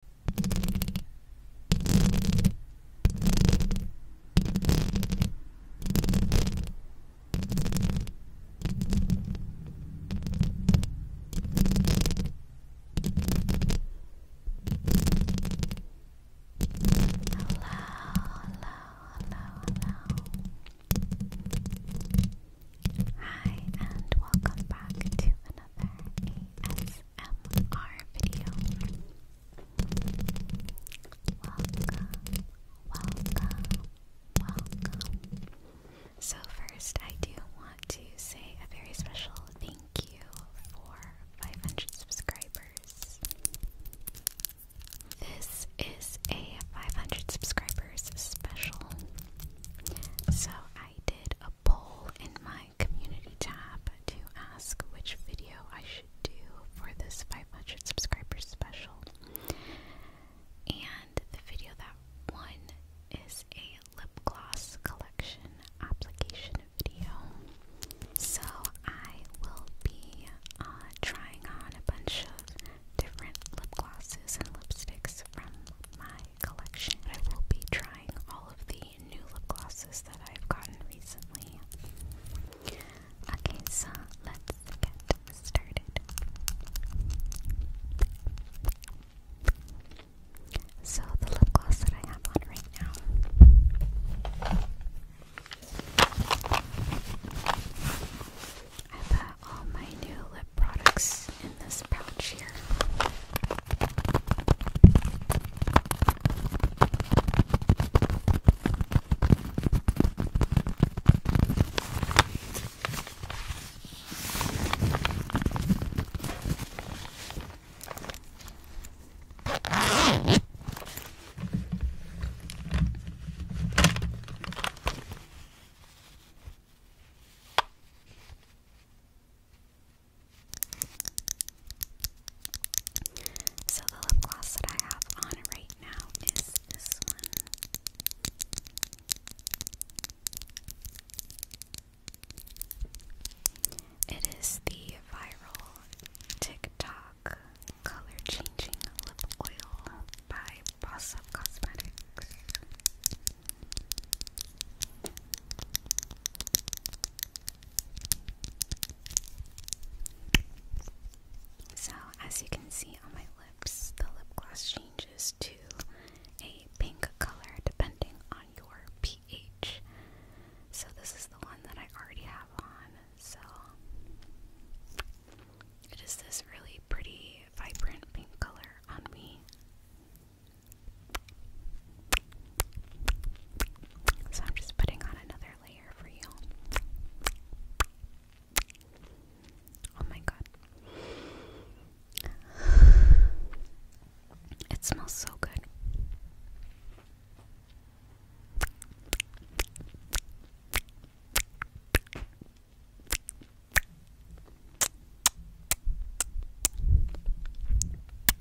hello. Hi, and welcome back to another ASMR ASMR video. Welcome, welcome, welcome. So, first, I do want to say a very special thank you for 500 subscribers. This is a 500 subscribers special. So, I did a poll in my community tab to ask which video I should do for this 500 subscribers special. And the video that won is a lip gloss collection application video. So I will be uh, trying on a bunch of different lip glosses and lipsticks from my collection. I will be trying all of the new lip glosses that I've gotten recently. Okay, so let's get started. So, the lip gloss that I have on right now. I put all my new lip products in this this pouch here. So the lip gloss that I have on right now is this one. It is the viral TikTok color changing lip oil by Boss Up Cosmetics. So, as you can see on my lips, the lip gloss changes to a pink color depending on your pH. So, this is the one that I already have on. So, it is this really pretty, vibrant pink color on me. So I'm just putting on another layer for you. Oh my god. It smells so good.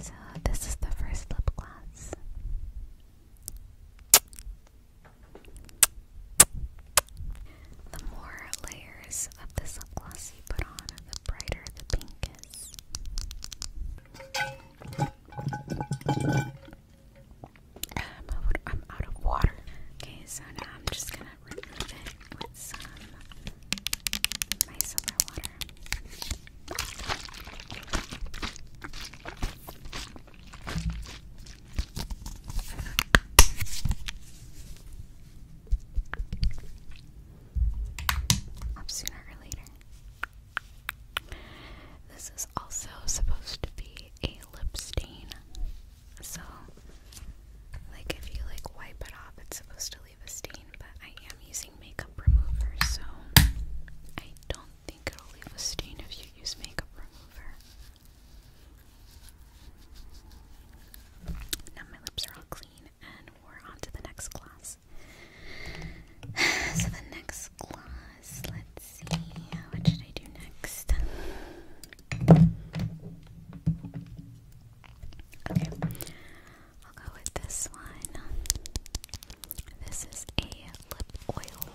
So, this is the first lip gloss. The more layers of this lip gloss you put on, the brighter the pink is. Um, I'm out of water. Okay, so now I'm just gonna remove it with some my silver water. Up sooner or later. This is also supposed to be a lip stain. So, like, if you like wipe it off, it's supposed to leave a stain, but I am using makeup remover, so I don't think it'll leave a stain if you use makeup remover. Now my lips are all clean, and we're on to the next gloss. so the next gloss, let's see, what should I do next? Okay, I'll go with this one. This is a lip oil.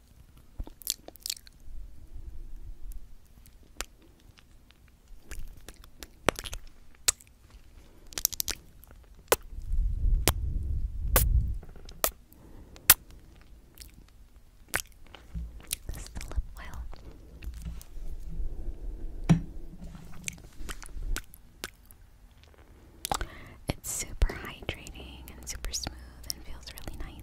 This is the lip oil. It's super hydrating and super smooth and feels really nice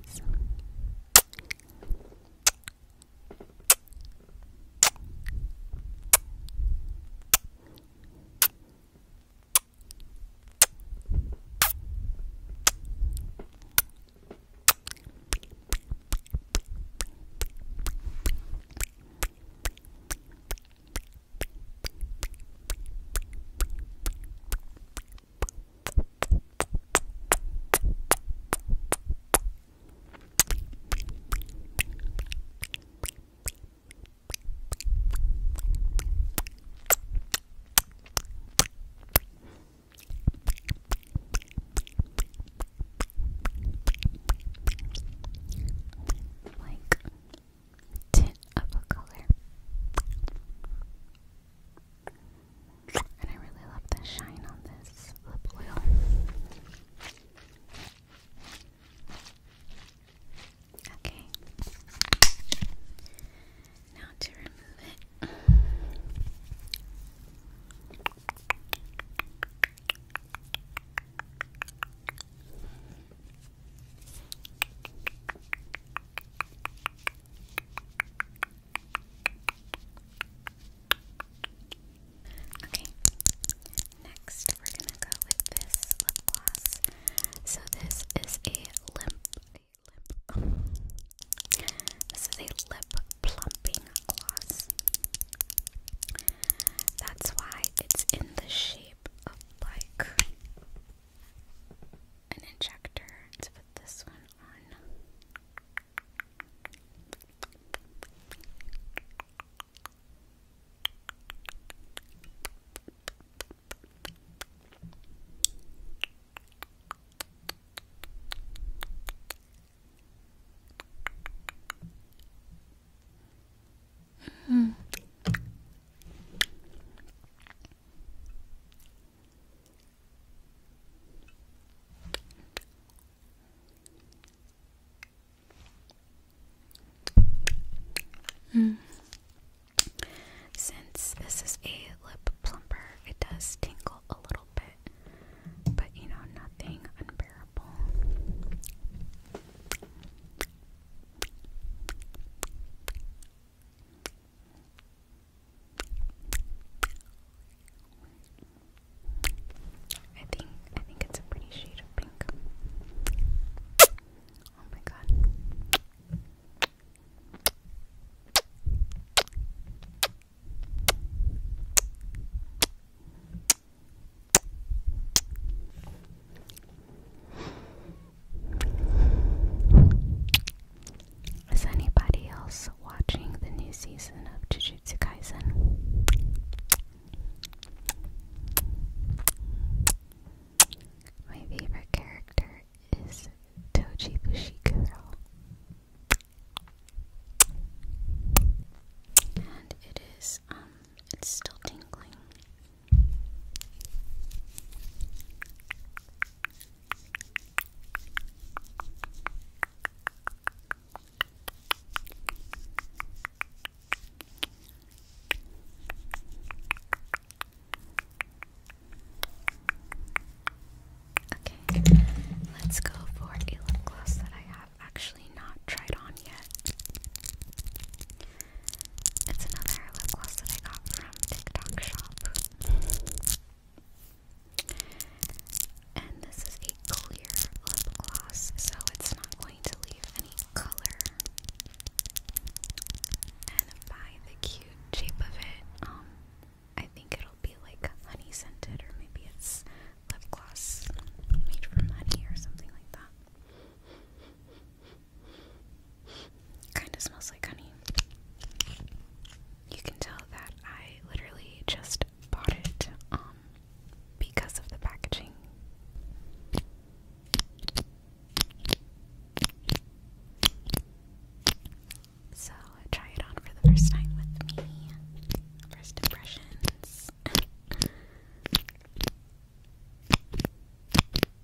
like tint of a color. And I really love the shine on this lip oil. Okay. Now to remove it. Okay, next we're gonna go with this gloss. So this is a limp, lip. This is a lip plumping gloss. That's why it's in the shape of like an injector. Let's put this one on. -hmm. Mm. Since this is a lip plumper, it does tingle a little bit, but you know, nothing unbearable. I think I think it's a pretty shade of pink. Oh my god. Is anybody else watching the new season of Jujutsu Kaisen? My favorite character is Toji Bushikuro. And it is, um, it's still tingling. Okay, let's go for a lip gloss that I have actually not tried on yet. It's another lip gloss that I got from TikTok shop. And this is a clear lip gloss, so it's not going to leave any color. And by the cute shape of it, um, I think it'll be like honey scented, or maybe it's lip gloss made from honey or something like that. Kind of smells like honey. You can tell that I literally just bought it um because of the packaging. So try it on for the first time with me. First impressions.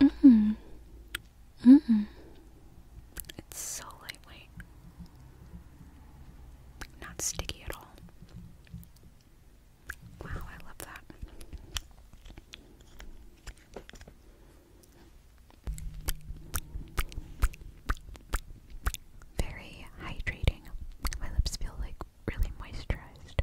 Mm. -hmm. -hmm. It's so lightweight. Not sticky at all. Wow, I love that. Very hydrating. My lips feel like really moisturized.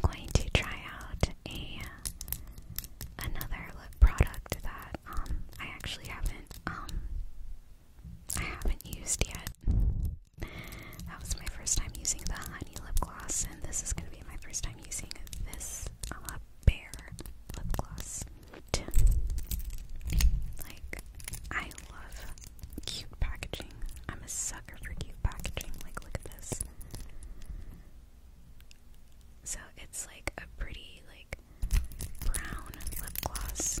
I'm going to try out a another lip product that um, I actually haven't um, I haven't used yet. That was my first time using the honey lip gloss, and this is going to be my first time using this um, bear lip gloss. Like, I love cute packaging. I'm a sucker for cute packaging. Like, look at this. So it's like a pretty, like, brown lip gloss.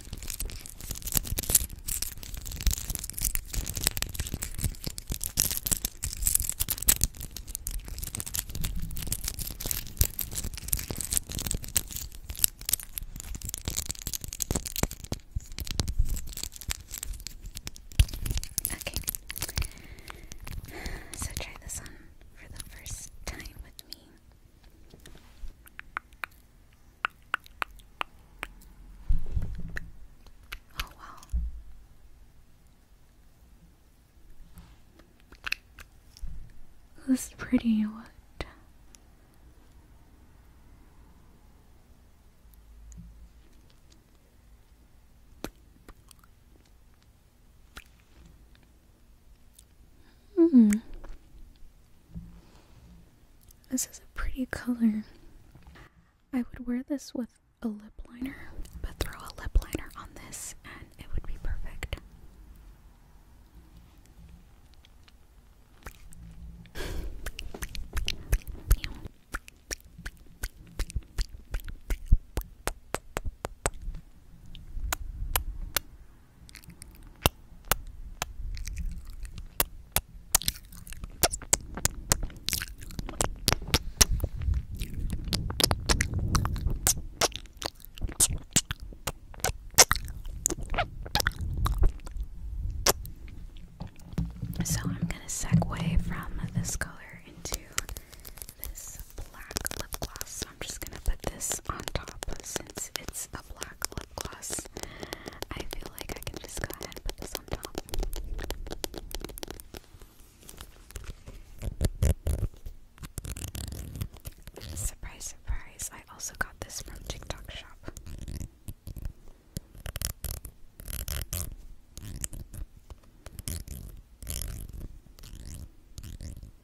Okay. So try this on for the first time with me. Oh, wow. This is pretty, what? Hmm. This is a pretty color. I would wear this with a lip liner, but throw a lip liner on this and it would be perfect. So I'm going to segue from this color into this black lip gloss. I'm just gonna put this on top since it's a black lip gloss. I feel like I can just go ahead and put this on top. Surprise, surprise. I also got this from TikTok shop.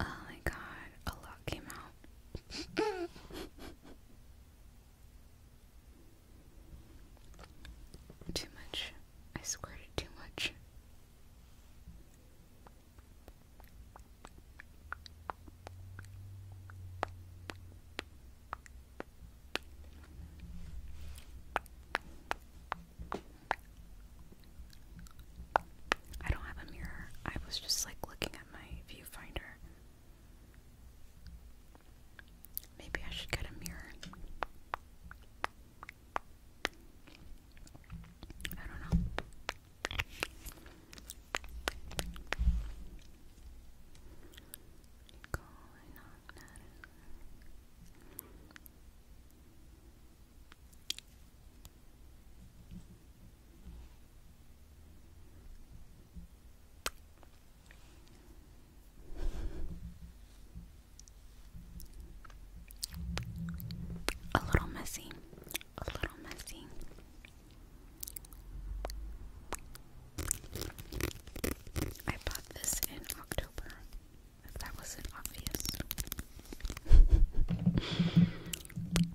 Oh my god, a lot came out. too much. I squirted too much. I don't have a mirror. I was just like looking at my viewfinder. Maybe I should get a mirror. I don't know. A little messy, a little messy. I bought this in October, that wasn't obvious.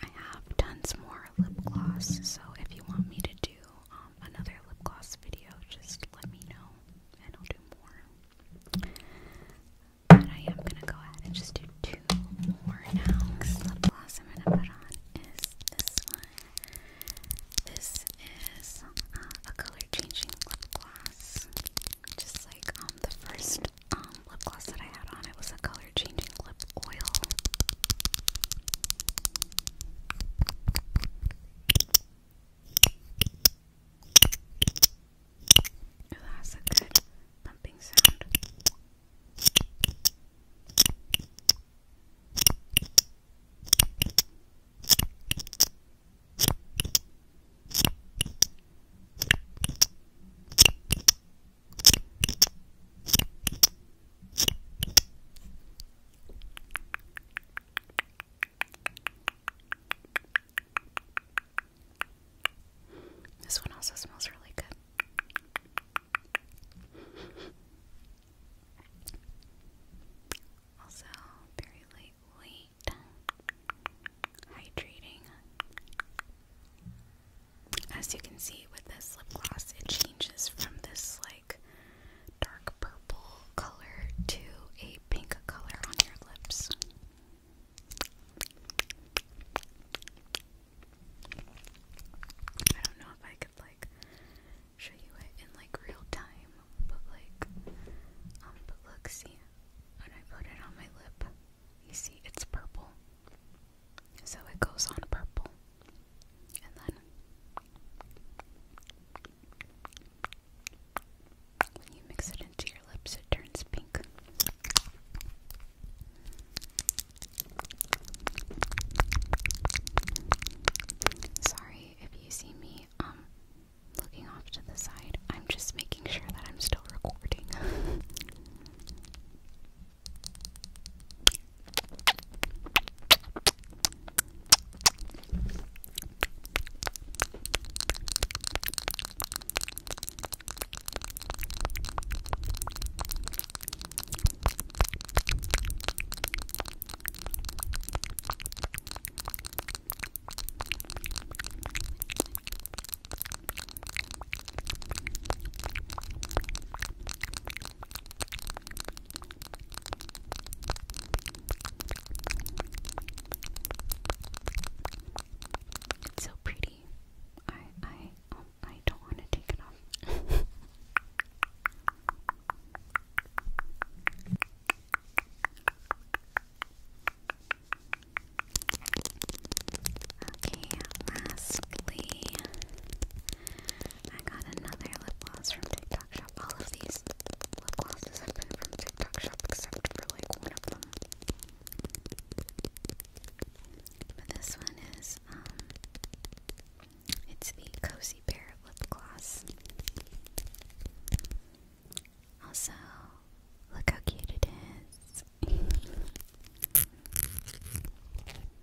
I have done some more lip gloss, so if you want me to do um, another lip gloss video, just let me know and I'll do more. I am gonna go ahead and just do two two more now because the blossom I'm gonna put on is this one. This is uh, a color changing lip gloss. Just like um, the first um, lip gloss that I had on, it was a color changing lip oil. Ooh, that's a good pumping sound. This one also smells really good. Also, very lightweight, hydrating. As you can see with this lip gloss, it changes from this like dark purple color to a pink color on your lips. I don't know if I could like show you it in like real time, but like um, look, see when I put it on my lip, you see it's purple. So it goes on purple. And then when you mix it into your lips it turns pink. Sorry if you see me um looking off to the side. I'm just making sure that I'm still recording. It's so pretty. I I I don't want to take it off. okay, lastly, I got another lip gloss from TikTok Shop. All of these lip glosses have been from TikTok Shop except for like one of them. But this one is um, it's the Cozy Bear Lip Gloss. Also, look how cute it is.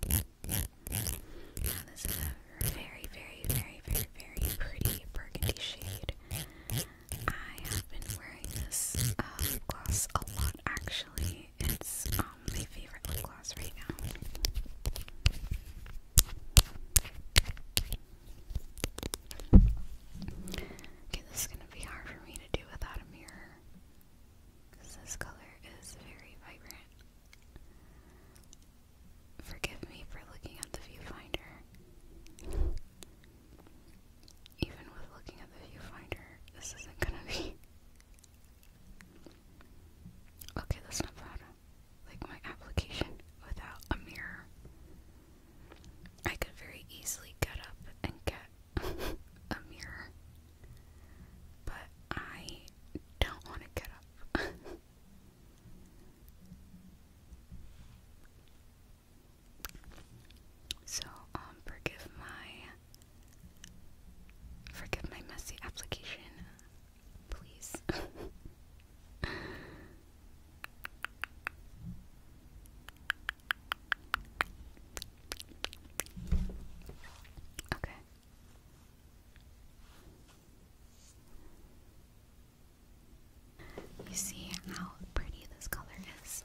now, this is a very, very, very, very, very pretty burgundy shade. I have been wearing this lip uh, gloss a lot actually. It's um, my favorite lip right now. Okay, this is gonna be hard for me to do without a mirror. Cause this color is very vibrant. Forgive me for looking at the viewfinder. Even with looking at the viewfinder, this isn't gonna be Okay, that's not bad. Like my application without a mirror. I could very easily get up and get a mirror. But I don't want to get up. so, um, forgive my Forgive my messy application, please. okay. You see how pretty this color is.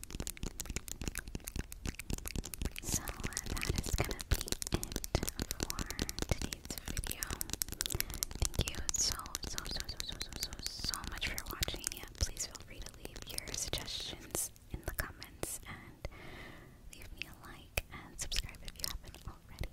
So that is gonna be it for today's video. Thank you so so so so so so so much for watching. please feel free to leave your suggestions in the comments and leave me a like and subscribe if you haven't already.